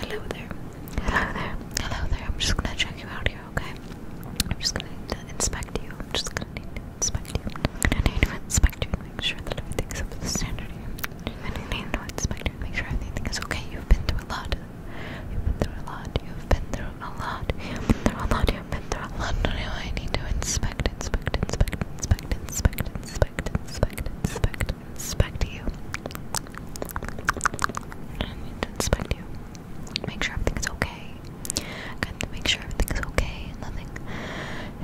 Hello there. Hello there. Hello there. I'm just gonna check you out here, okay? I'm just gonna need to inspect you. I'm just gonna need to inspect you. I'm gonna need to inspect you and make sure that everything's up to the standard here. I'm gonna need to inspect you and make sure everything is okay. You've been through a lot. You've been through a lot. You've been through a lot. You've been through a lot. You've been through a lot. No, no, I need to inspect, inspect, inspect, inspect, inspect, inspect, inspect, inspect, inspect you. inspect you. Make sure everything's okay. I have to make sure everything's okay nothing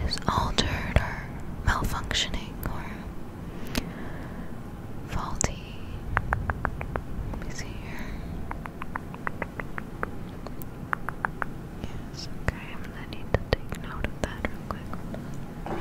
is altered or malfunctioning or faulty. Let me see here. Yes, okay, I'm gonna need to take note of that real quick.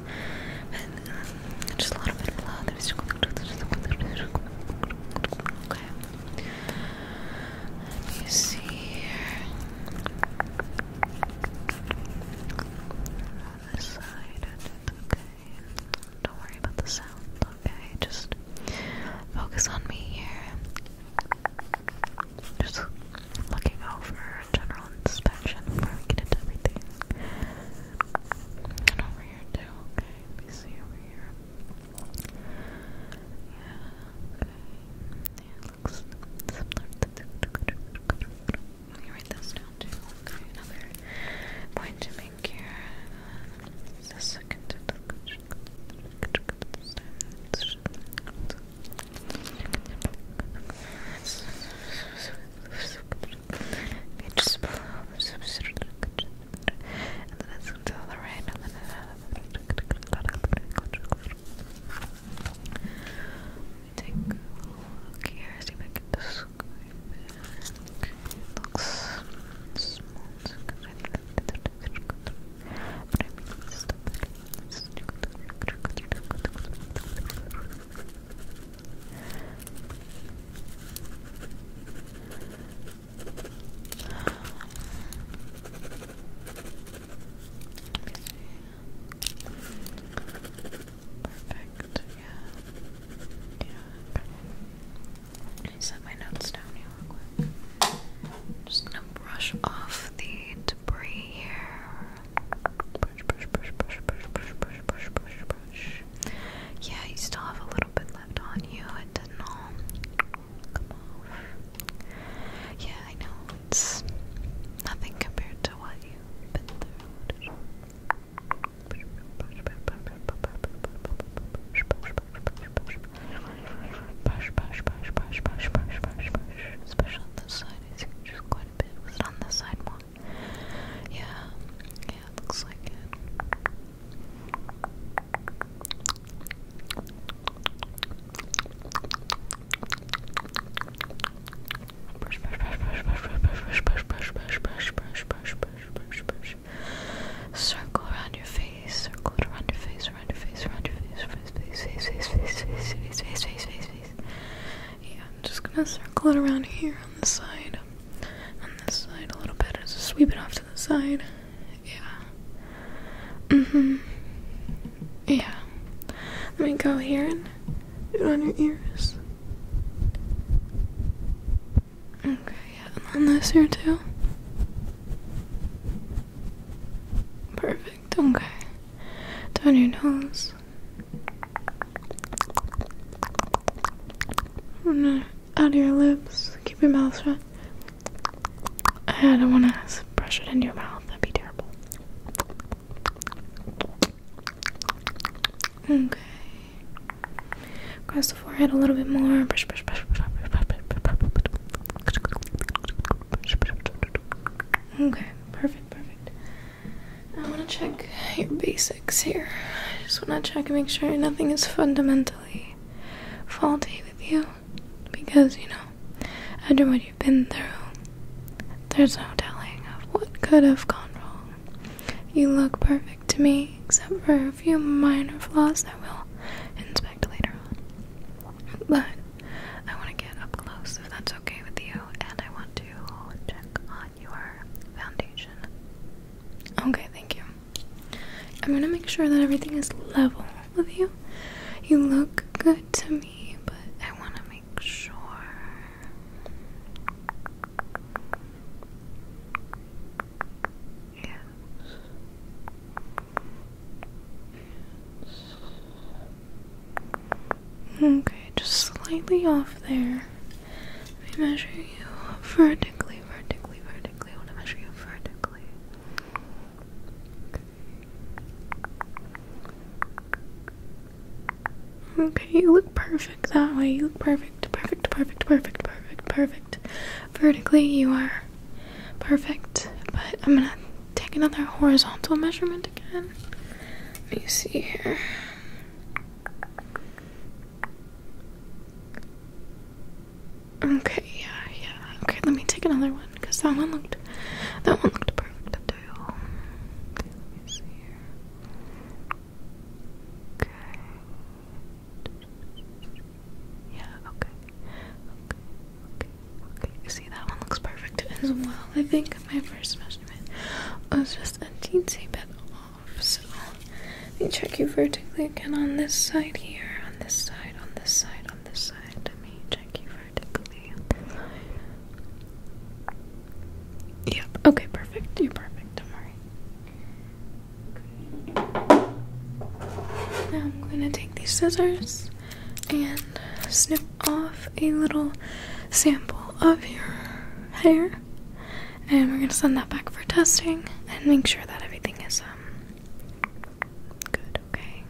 But just a lot of love. see here. On this side, okay. Don't worry about the sound, okay? Just focus on me here. Just looking over general inspection before we get into everything. And over here too, Let me see over here. Yeah, okay. Yeah, Let me write this down too. another point to make here. Is Beaches below. And then it's to the right. And then Let me take a look here. See if I can describe it. It looks small. But I mean, it's still better. It's still better. Perfect, yeah. Yeah, okay. Set my notes down here just gonna brush off the debris here. Yeah, you still have a little bit left on you. It didn't all Yeah, I know it's nothing compared to what you've been through. Especially on this side, I see just quite a bit. Was it on this side more? Yeah, yeah, it looks like it. Brush, brush, brush, brush, brush, brush, brush, brush, brush, brush, brush, brush, brush, brush, Circle around your face, circle it around your face, around your face, around your face, face, face, face, face, face, face, face, face, face, face, yeah, I'm just gonna circle it around here on the side. On this side a little bit. and Just sweep it off to the side. Yeah. hmm Yeah. Let me go here and do it on your ears. Okay, yeah, and on this here too. Perfect, okay. Down your nose. Out of your lips. Keep your mouth shut. I don't want to brush it into your mouth. That'd be terrible. Okay. Across the forehead a little bit more. Brush, brush, brush, brush, brush, brush, brush. Okay. Perfect. Perfect. I want to check your basics here. I just want to check and make sure nothing is fundamentally faulty with you. Because, you know, after what you've been through, there's no telling of what could have gone wrong. You look perfect to me, except for a few minor flaws that we'll inspect later on. But I want to get up close if that's okay with you and I want to check on your foundation. Okay, thank you. I'm gonna make sure that everything is level with you. You look good to me, but I want to make sure. Yes. yes. Okay, just slightly off there. Let me measure you vertically, vertically, vertically. I want to measure you vertically. Okay, you look perfect that way. You look perfect, perfect, perfect, perfect, perfect, perfect. Vertically, you are perfect. But I'm gonna take another horizontal measurement again. Let me see here. Okay, yeah, yeah. Okay, let me take another one because that one looked that one looked perfect too. Okay, let me see here. Okay. Yeah, okay. Okay, okay, okay. See that one looks perfect as well. I think my first measure measurement oh, was just a teensy bit off. So let me check you vertically again on this side here, on this side, on this side, on this side. Let me check you vertically Yep. Okay, perfect. You're perfect. i Now I'm gonna take these scissors and snip off a little sample of your hair and we're going to send that back for testing and make sure that everything is um, good okay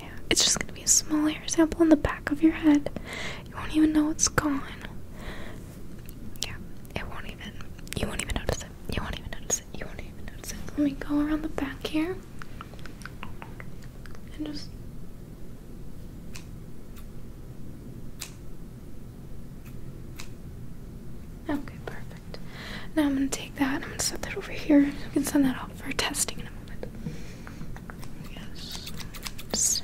yeah it's just going to be a small hair sample in the back of your head you won't even know it's gone yeah it won't even you won't even notice it you won't even notice it you won't even notice it let me go around the back here and just okay perfect now i'm going to take that i'm going to set that over here you can send that off for testing in a moment yes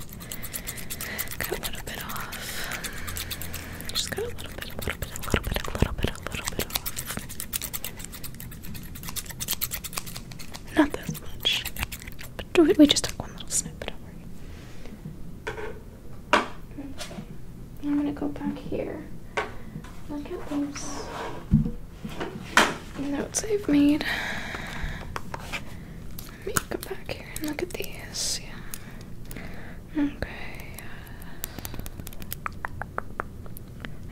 cut a little bit off just cut a little bit a little bit a little bit a little bit a little bit off not that much. But we, just took one little snip, but I'm gonna go back here. Look at those notes I've made. Let me go back here and look at these. Yeah. Okay.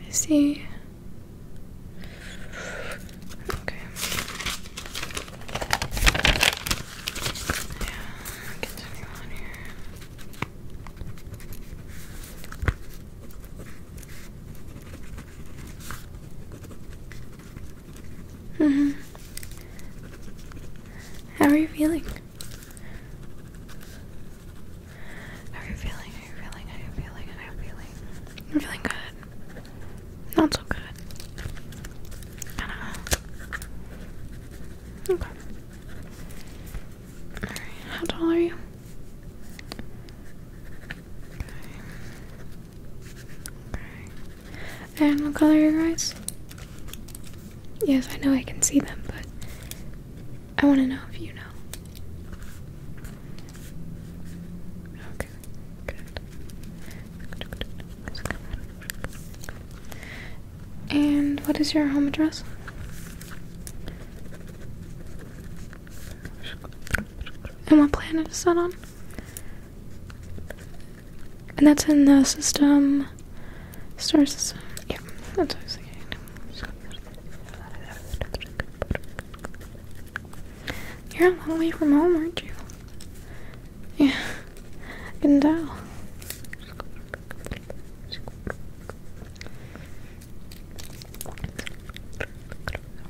I see Okay. Yeah, continue on here. Mm -hmm. How are you feeling? How are you feeling? How are you feeling? How are you feeling? How are you feeling? I'm feeling good. Not so good. Kinda. Okay. how tall are you? Okay. okay. And what color are your eyes? Yes, I know I can see them, but I want to know if you know. Okay, good. And what is your home address? And what planet is that on? And that's in the system, star system. Yeah, that's what I was you're a long way from home, aren't you? Yeah, I can tell.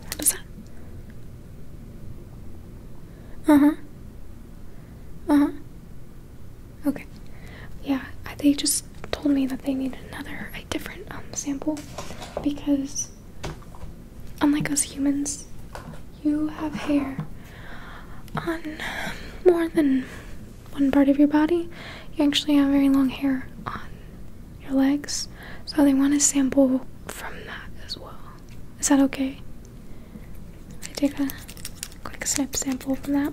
What is that? Uh huh. Uh huh. Okay. Yeah, I think just told me that they need another, a different um, sample because, unlike us humans, you have hair on more than one part of your body. You actually have very long hair on your legs, so they want a sample from that as well. Is that okay? I take a quick snip sample from that.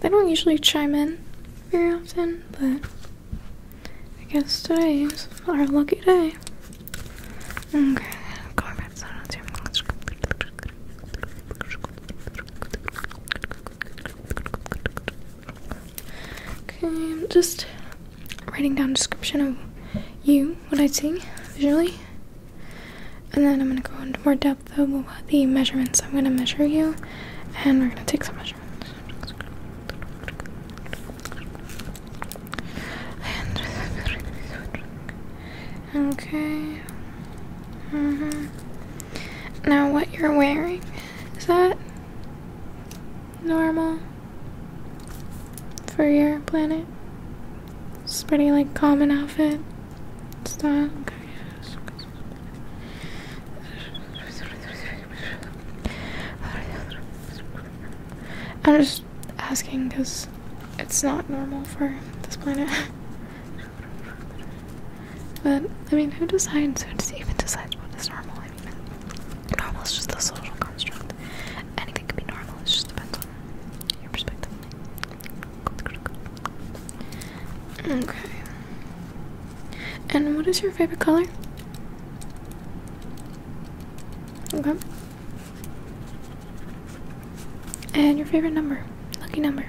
They don't usually chime in very often, but I guess today is our lucky day. Okay, Okay, I'm just writing down description of you, what I see visually. And then I'm going to go into more depth about the measurements. I'm going to measure you and we're going to take some measurements. okay. -hmm. Now, what you're wearing, is that normal for your planet? It's pretty like common outfit. I'm just asking because it's not normal for this planet. but I mean, who decides? Who even decides what is normal? I mean, normal is just a social construct. Anything can be normal. It just depends on your perspective. Okay. And what is your favorite color? Okay. And your favorite number? Lucky number.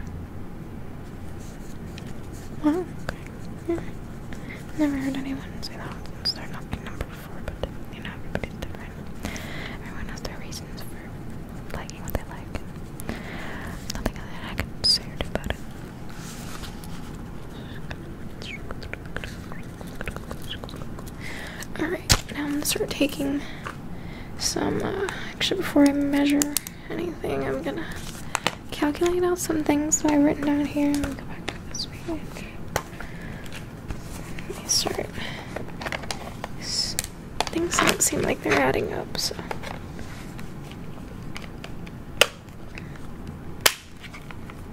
Wow, okay. Hmm. Never heard anyone say that. It's their lucky number before, but you know, everybody's different. Everyone has their reasons liking what they like. Nothing I can say or do about it. Alright, now I'm gonna start taking some. Uh, actually, before I measure anything, I'm gonna calculate out some things that I've written down here. I'm go back to this page. Let me start. Things don't seem like they're adding up, so.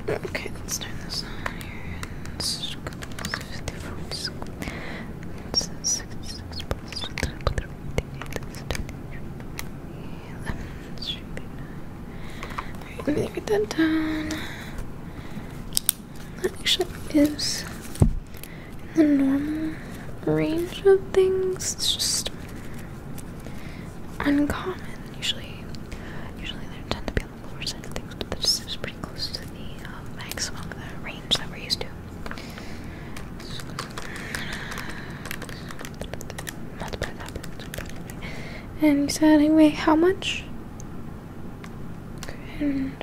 Okay, let's turn this on here. This Alright, let me get that done that actually is in the normal range of things. It's just uncommon. Usually, usually they tend to be on the lower side things, but that just pretty close to the uh, maximum of the range that we're used to. And you said anyway, how much? and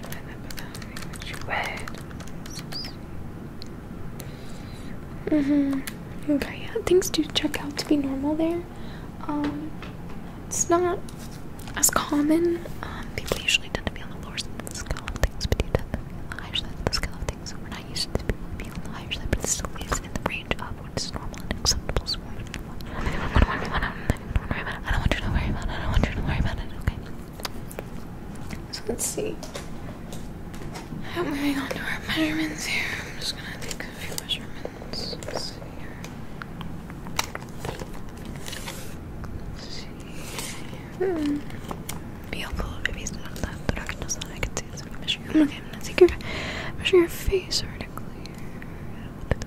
mm-hmm. Okay, yeah, things do check out to be normal there. Um, it's not as common. Um, people usually tend to be on the lower side of the scale of things, but you tend to be on the higher scale of things. So we're not used to people being on the higher side, but it still lives in the range of what is normal and acceptable. I don't want you to worry about it. I don't want you to worry about it. I don't want you to worry about it. Okay. So let's see. I'm moving on to our measurements here. I'm just gonna take a few measurements. Let's see here. Let's see. Hmm. Be helpful if you stand on that, but I can just I can see it's a measure. Okay, I'm gonna take your measure your face vertically. Here.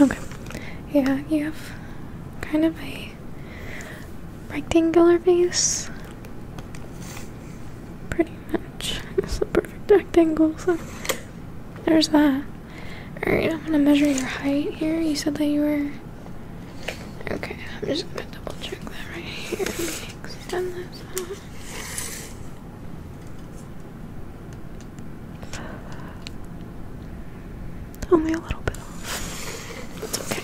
Okay. Yeah, you have kind of a rectangular face. Pretty much. It's a perfect rectangle, so there's that. Alright, I'm gonna measure your height here. You said that you were. Okay, I'm just gonna double check that right here. Extend this only a little bit It's okay.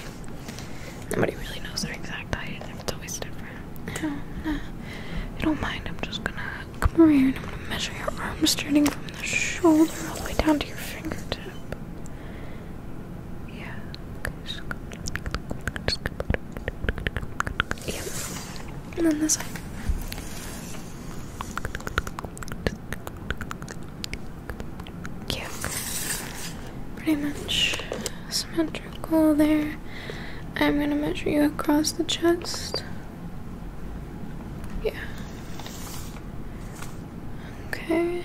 Nobody really knows their exact height. It's always different. I don't, uh, don't mind. I'm just gonna come over here and I'm gonna measure your arms, starting from the shoulder all the way down to your fingertip. Yeah. Yep. And then this side. Yeah. Pretty much symmetrical there. I'm gonna measure you across the chest. Yeah. Okay.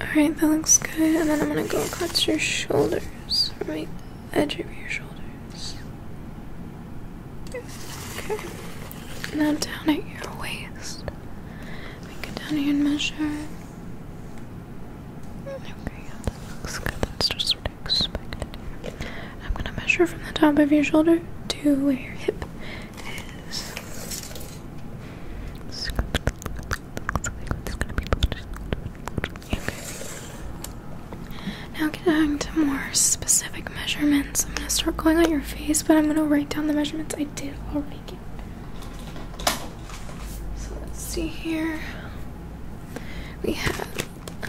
Alright, that looks good. And then I'm gonna go across your shoulders. Right edge of your shoulders. Okay. Now down at your waist. We go down here and measure. Okay, yeah, that looks good. That's just what I am gonna measure from the top of your shoulder to where your hip is. Okay. Now getting to more specific measurements. I'm gonna start going on your face, but I'm gonna write down the measurements I did already So let's see here. We have um,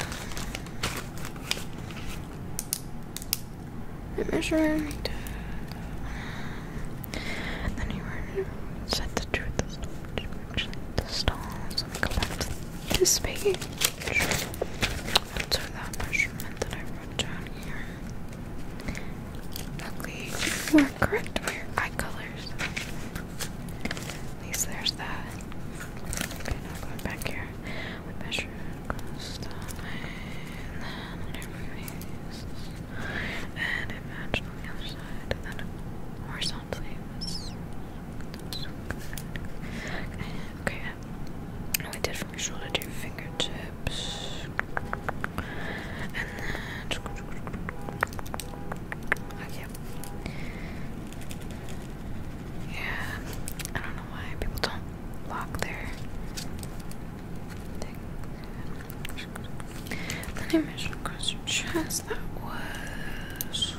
the measurement. Then you were said the truth actually the stars. Let me go back to this page. Answer that measurement that I wrote down here. Luckily, you are correct for your eye colors. At least there's that. Okay, now going back here. We measure across the line, and then it moves, and it matches on the other side, and then horizontal sound Okay, um, and um, did from your shoulder to your fingertips, um, okay. Yeah, I don't know why people don't lock their things. Then I across your chest. That was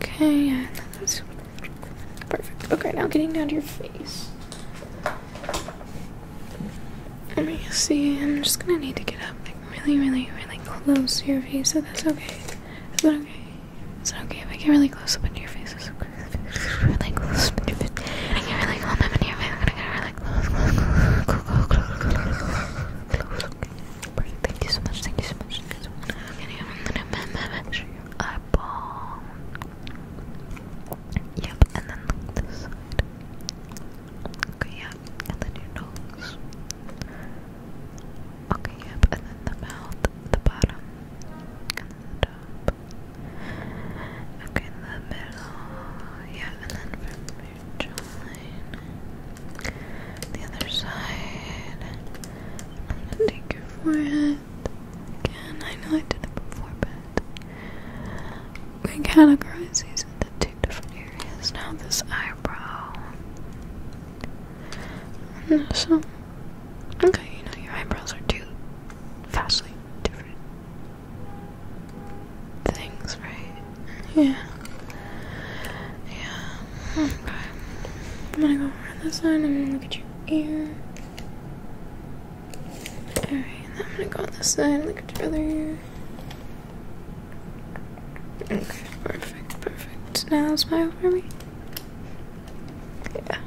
Okay, perfect. Okay, now getting down to your face. Let me see. I'm just gonna need to get up like really, really, really close to your face. So that's okay. Is that okay? Is it okay if I get really close up into your face? Thank you so much. Thank you so much. I'm Yep, and then this side. Okay, yep, and then your nose. Okay, yep, and then the mouth, the bottom, top. Okay, the middle. Yeah, and then from your jawline. The other side. I'm gonna take your forehead. Again, I know I did it before, but we categorize these into two different areas. Now this eyebrow. So, okay, you know your eyebrows are too fastly different things, right? Yeah. Yeah. Hmm. Okay. I'm gonna go around this side. I'm gonna look at your ear. Alright, and I'm gonna go on this side, look at your other ear. Okay, perfect, perfect. Now smile for me. Yeah.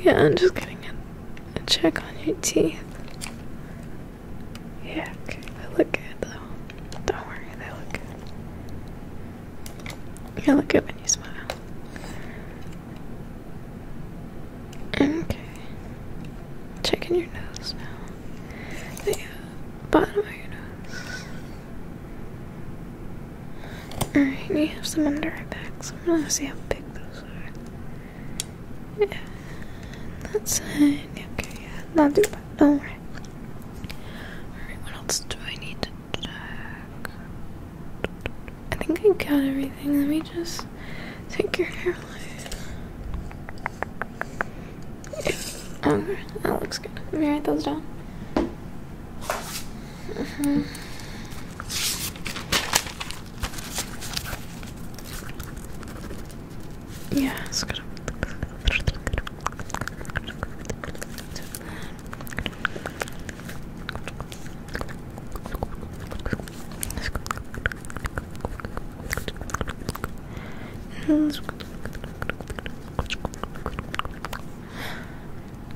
Yeah, I'm just getting a, check on your teeth. Yeah, okay, they look good though. Don't worry, they look You look good when you smile. Okay. Checking your nose now. The bottom of your nose. Alright, we have some under our back, I'm gonna see how big those are. Yeah. that's it. Okay, yeah. Not too bad. Alright. Alright, what else do I need to check? I think I got everything. Let me just take your hairline. Yeah. that looks good. Let me write those down. Mm -hmm. Yeah, it's good.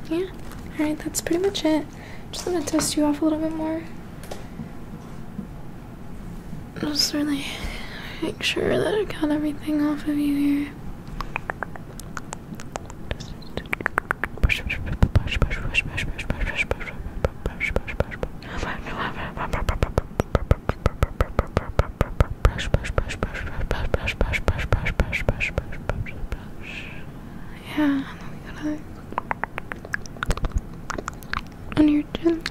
Yeah, alright, that's pretty much it. Just gonna dust you off a little bit more. Just really make sure that I got everything off of you here. Yeah, and then gotta on your chin.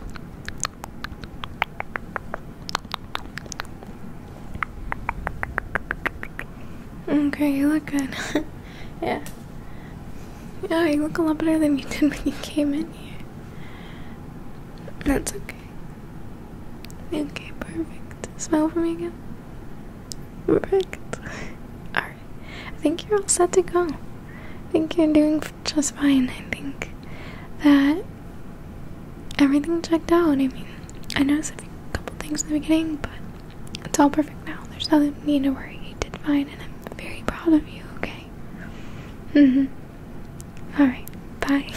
Okay, you look good. yeah. Yeah, you look a lot better than you did when you came in here. That's okay. Okay, perfect. Smell for me again. Perfect. Alright. I think you're all set to go. I think you're doing just fine. I think that everything checked out. I mean, I noticed a couple things in the beginning, but it's all perfect now. There's nothing need to worry. You did fine, and I'm very proud of you, okay? Mm hmm. Alright. Bye.